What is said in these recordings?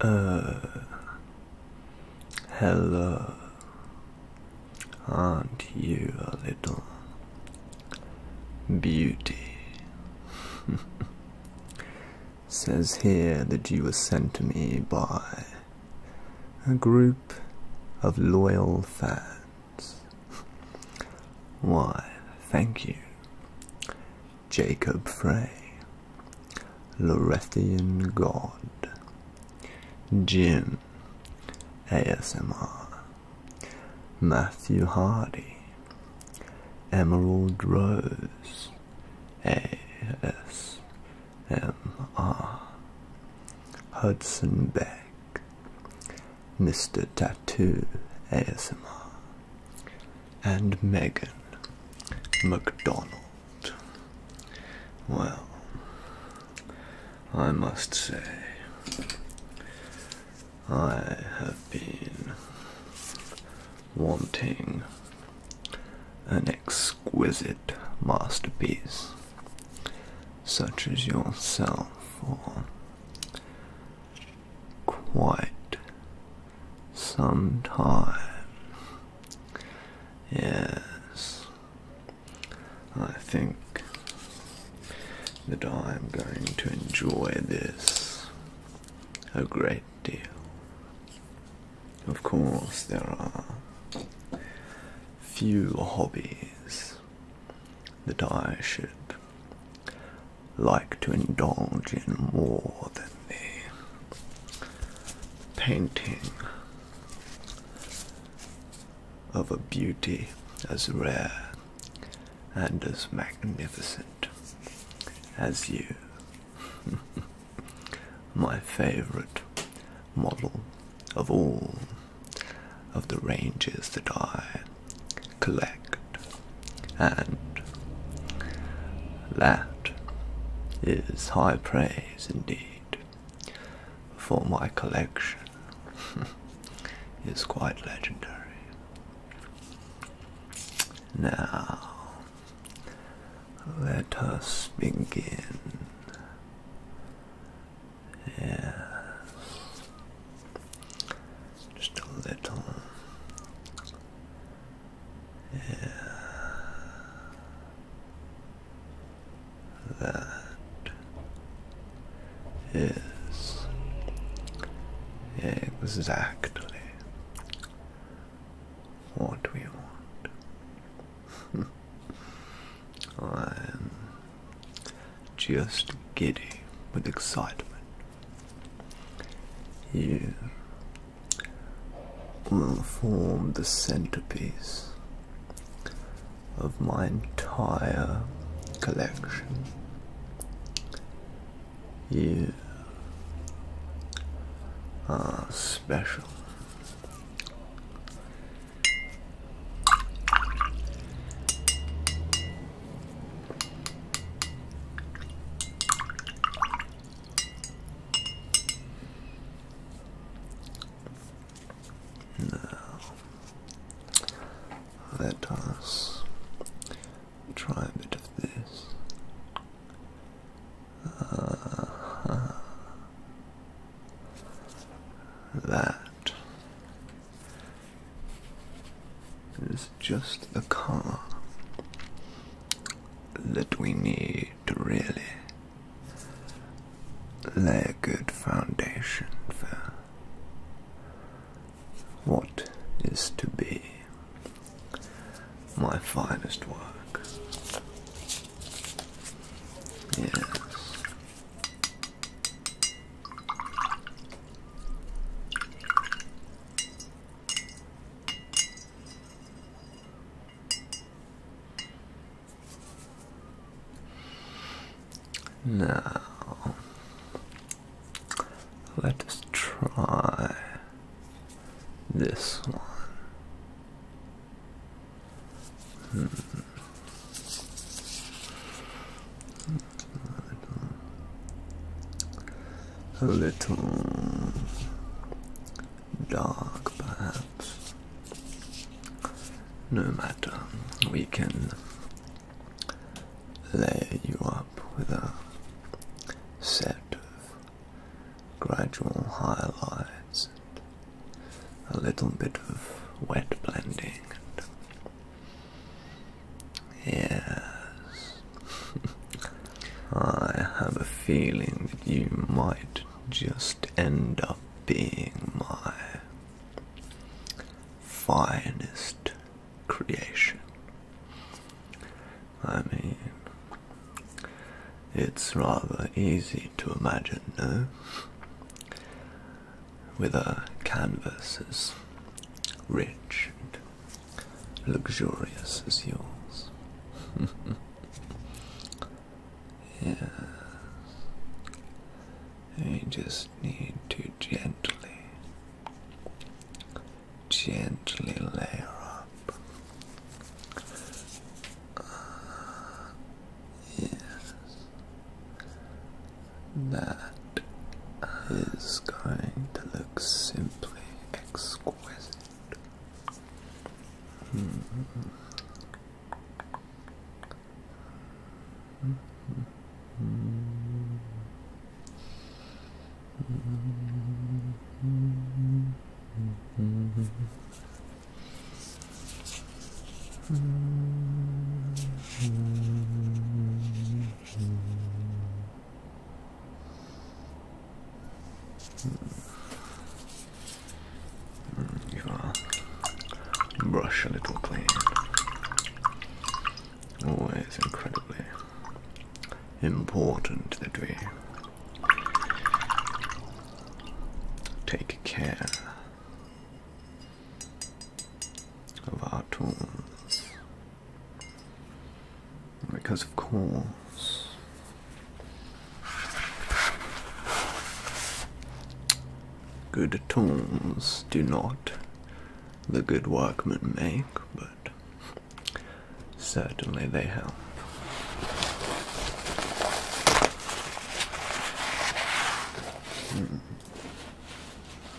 Uh, hello. Aren't you a little beauty? Says here that you were sent to me by a group of loyal fans. Why, thank you. Jacob Frey, Lorethian God, Jim, ASMR, Matthew Hardy, Emerald Rose, ASMR, Hudson Beck, Mr. Tattoo ASMR, and Megan McDonald. Well, I must say, I have been wanting an exquisite masterpiece such as yourself for quite some time. Yes, I think that I am going to enjoy this a great deal. Of course, there are few hobbies that I should like to indulge in more than the painting of a beauty as rare and as magnificent as you. My favorite model of all of the ranges that I collect. And that is high praise indeed, for my collection is quite legendary. Now, let us begin. Just a little yeah. That is exactly what we want. I'm just giddy with excitement. You will form the centerpiece of my entire collection. You are special. Now, let us try a bit of this. Uh-huh. That it's just a car that we need to really lay a good foundation for what is to be my finest work. Yes. Now, let us try this one. Hmm a little dark perhaps. No matter, we can layer you up with a set of gradual highlights and a little bit of wet blending Yes. I have a feeling that you might just end up being my finest creation. I mean, it's rather easy to imagine, no? With a canvas as rich and luxurious as yours. yes. I just need to gently, gently layer up. Uh, yes. That is going to look simple simply exquisite. Mm, Give brush a little clean. Always incredibly important that we take care of our tools because of course. Good tools do not the good workmen make, but certainly they help. Hmm.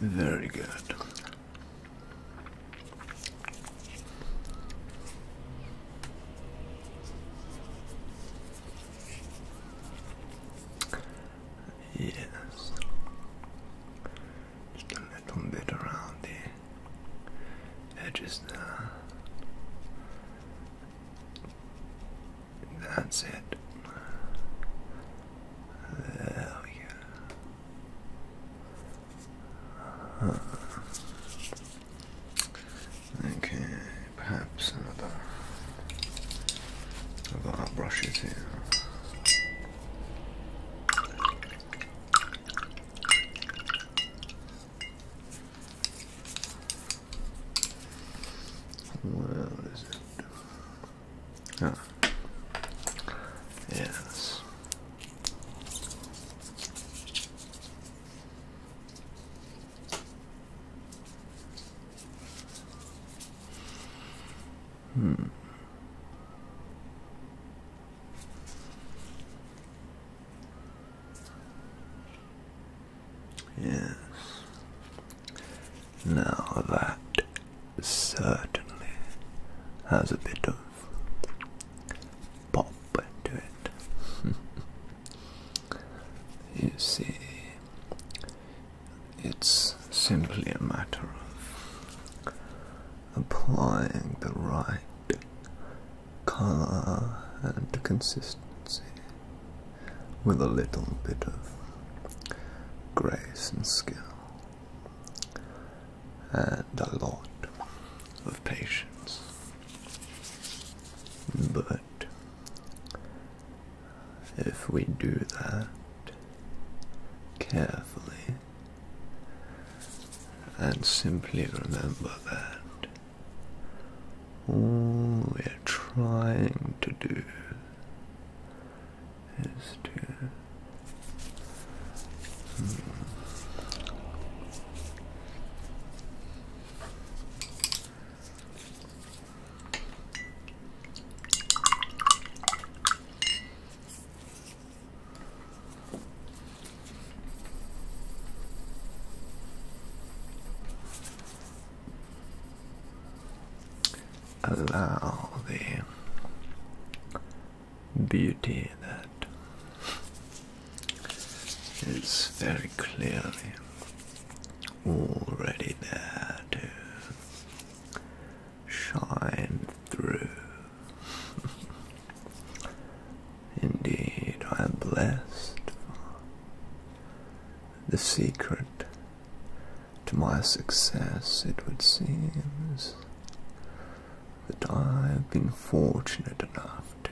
Very good. Yes. Just a little bit around here. It that's it. There we go. Uh, okay, perhaps another. I've got our brushes here. What is it? Ah. Yes. Hmm. Yes. Now that certainly has a bit of pop into it. you see, it's simply a matter of applying the right color and consistency with a little bit of grace and skill and a lot of patience. But if we do that carefully, and simply remember that all we're trying to do is to allow the beauty that is very clearly already there to shine through Indeed, I am blessed the secret to my success, it would seem, is that I have been fortunate enough to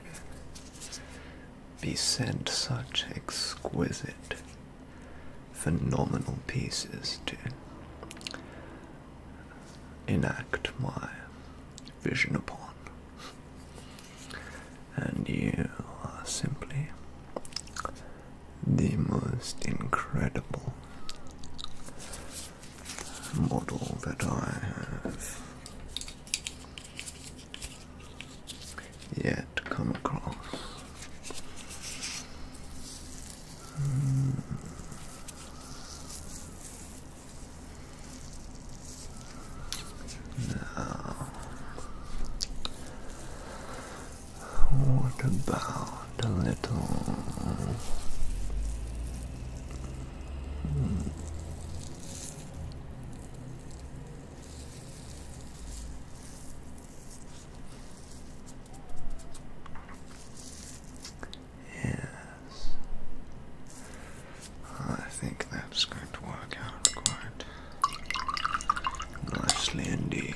be sent such exquisite, phenomenal pieces to enact my vision upon and you are simply the most incredible model that I have yet come across. Hmm. Now, what about a little? Yes. I think that's going to work out quite nicely indeed.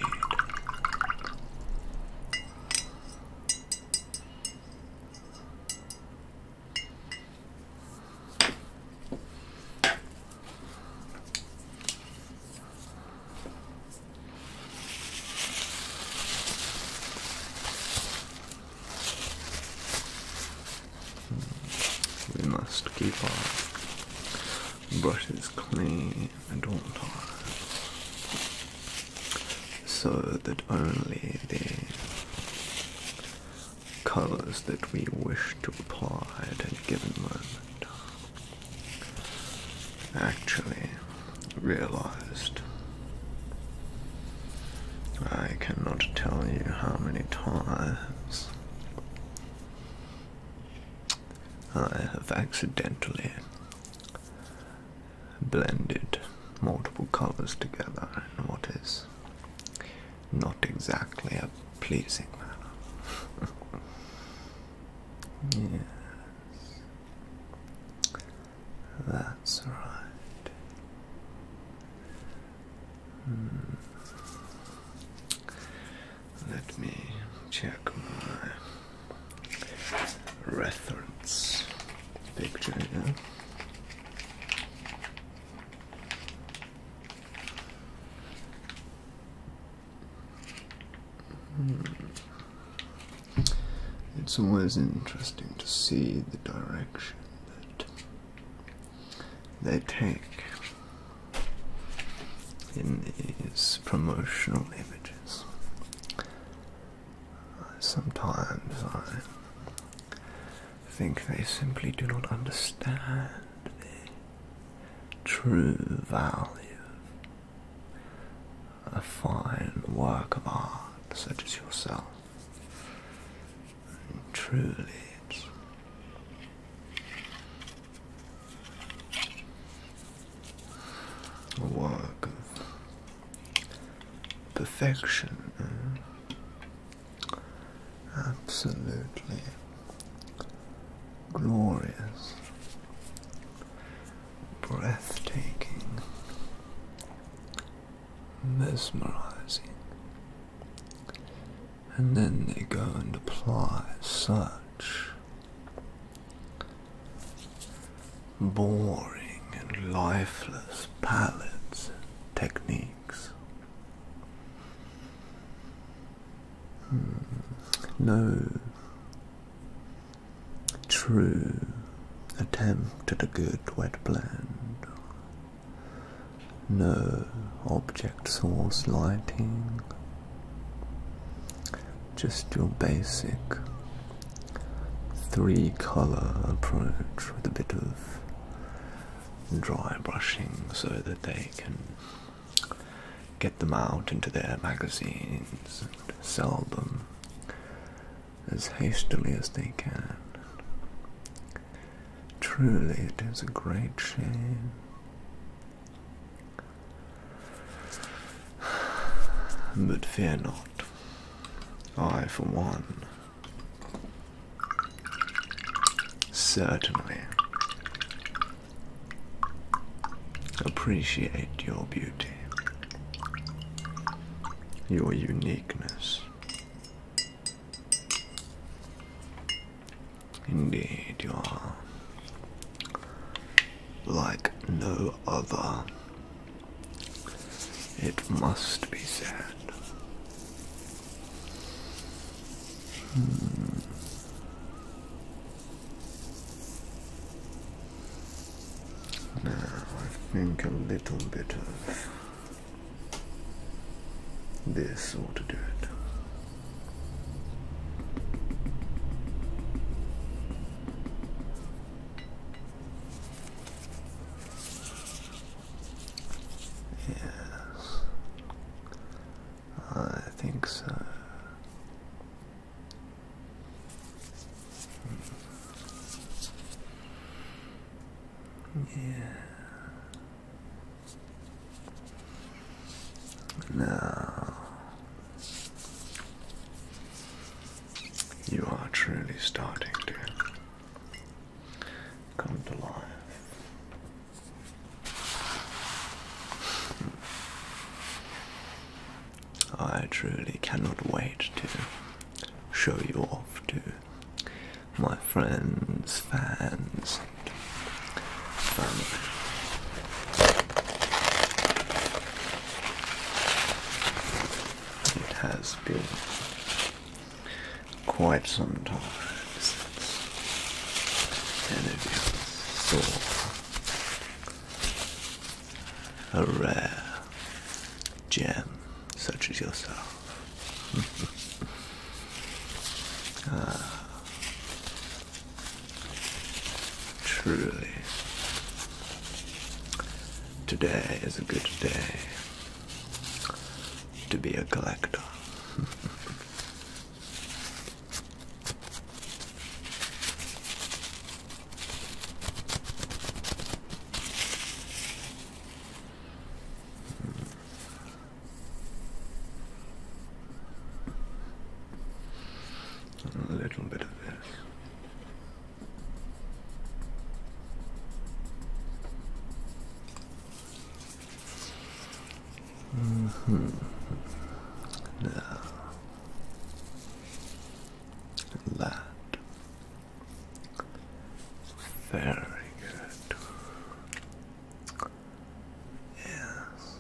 We must keep our brushes clean and all times so that only the colours that we wish to apply at a given moment uh, actually realised I cannot tell you how many times I have accidentally blended multiple colors together in what is not exactly a pleasing manner. yes. That's right. Hmm. Let me check my reference picture here. Hmm. It's always interesting to see the direction they take in these promotional images. Sometimes I think they simply do not understand the true value of a fine work of art such as yourself truly, it's a work of perfection, eh? absolutely glorious, breathtaking mesmerizing. And then they go and apply such boring and lifeless palette techniques. Hmm. No true attempt at a good wet blend no object source lighting, just your basic three color approach with a bit of dry brushing so that they can get them out into their magazines and sell them as hastily as they can. Truly, it is a great shame. But fear not. I, for one, certainly appreciate your beauty, your uniqueness, Indeed, you are like no other. It must be said. Hmm. Now, I think a little bit of this ought to do it. Yes, I think so. Yeah. Now, you are truly starting to come to life. I truly cannot wait to show you off to my friends, fans, It has been quite some time since of you saw a rare gem such as yourself. Ah. truly, today is a good day to be a collector. A little bit of this. -hmm. Now, that very good. Yes.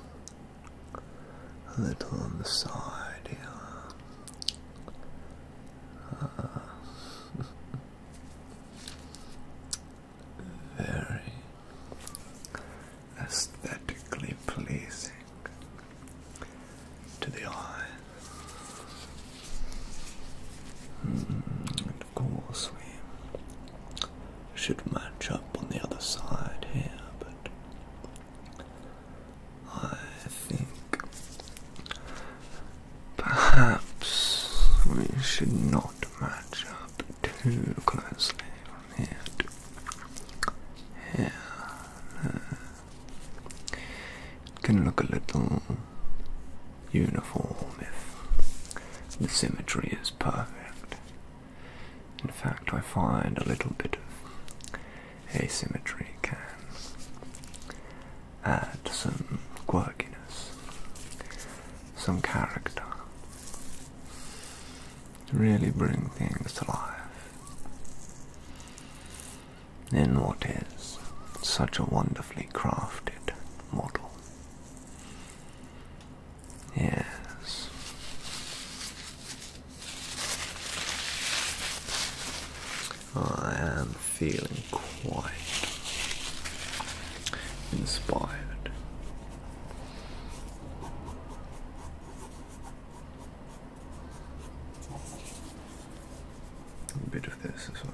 A little on the side here. very aesthetically pleasing to the eye. And mm-hmm. of course, we should match up on the other side here, but I think perhaps we should not match up too closely from here here. It can look a little uniform if the symmetry is perfect. In fact, I find a little bit of asymmetry can add some quirkiness, some character, really bring things to life in what is such a wonderfully crafted model. Yes. I am feeling quite inspired a bit of this as well.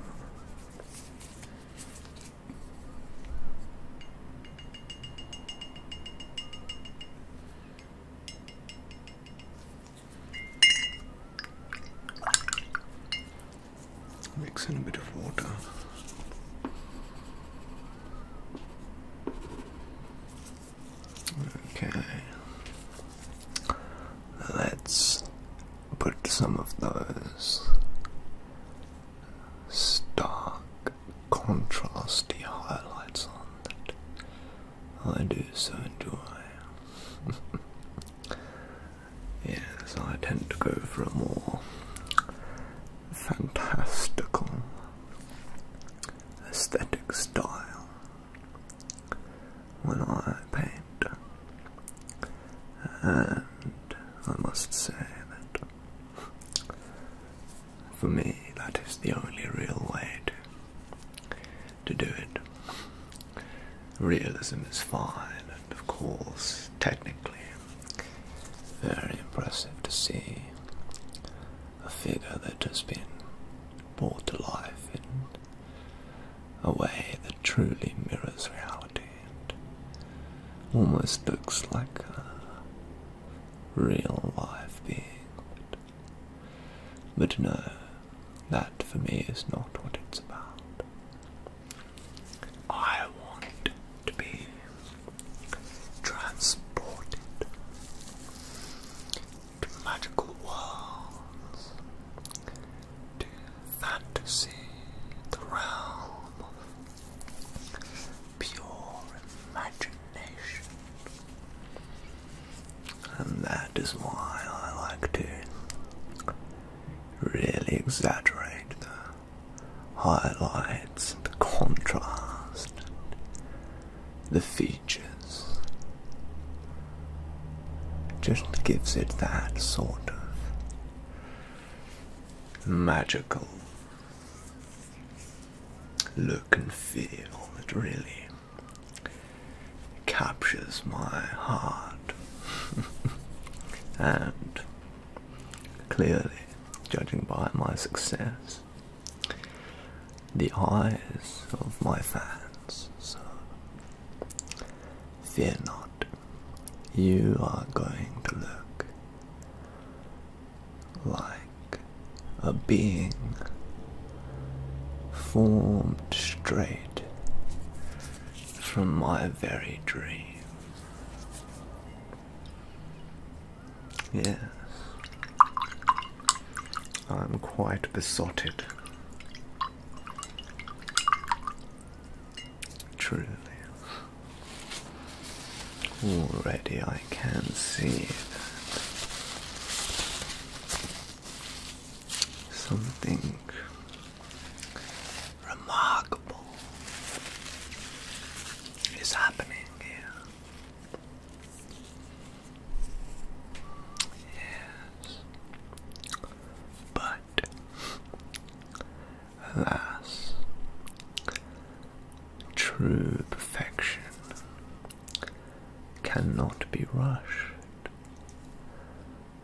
Mix in a bit of water. Okay, let's put some of those stark contrasty highlights on it. I do so enjoy. yes, I tend to go for a more fantastical aesthetic style when I paint, and I must say that for me that is the only real way to, do it. Realism is fine, and of course, technically, very impressive to see a figure that has been brought to life a way that truly mirrors reality and almost looks like a real life being. But no, that for me is not what it's about. I want to be transported to magical worlds to fantasy, the realm of pure imagination. And that is why I like to really exaggerate the highlights, the contrast, the features just gives it that sort of magical look and feel that really captures my heart. and clearly, judging by my success, the eyes of my fans. So Fear not, you are going to look like a being formed straight from my very dream. Yes, I'm quite besotted Truly. Already I can see something remarkable is happening here. Yes. But, alas, true perfection cannot be rushed.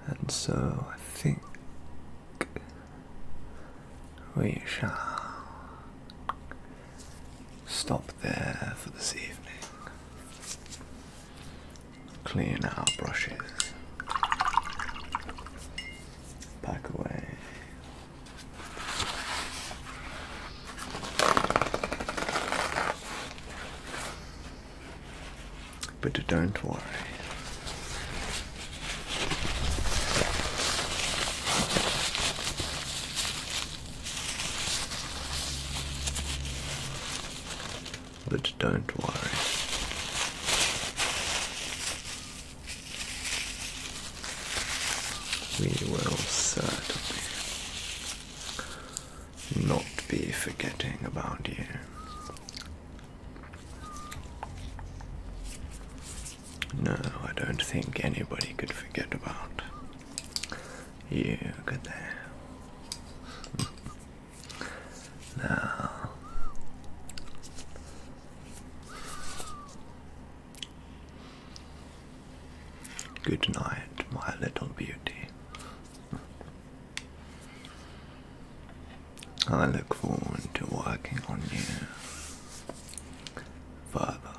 And so I think we shall stop there for this evening. Clean our brushes. Pack away. But don't worry but don't worry. We will certainly not be forgetting about you. No, I don't think anybody could forget about you, could they? Now, good night, my little beauty. I look forward to working on you further.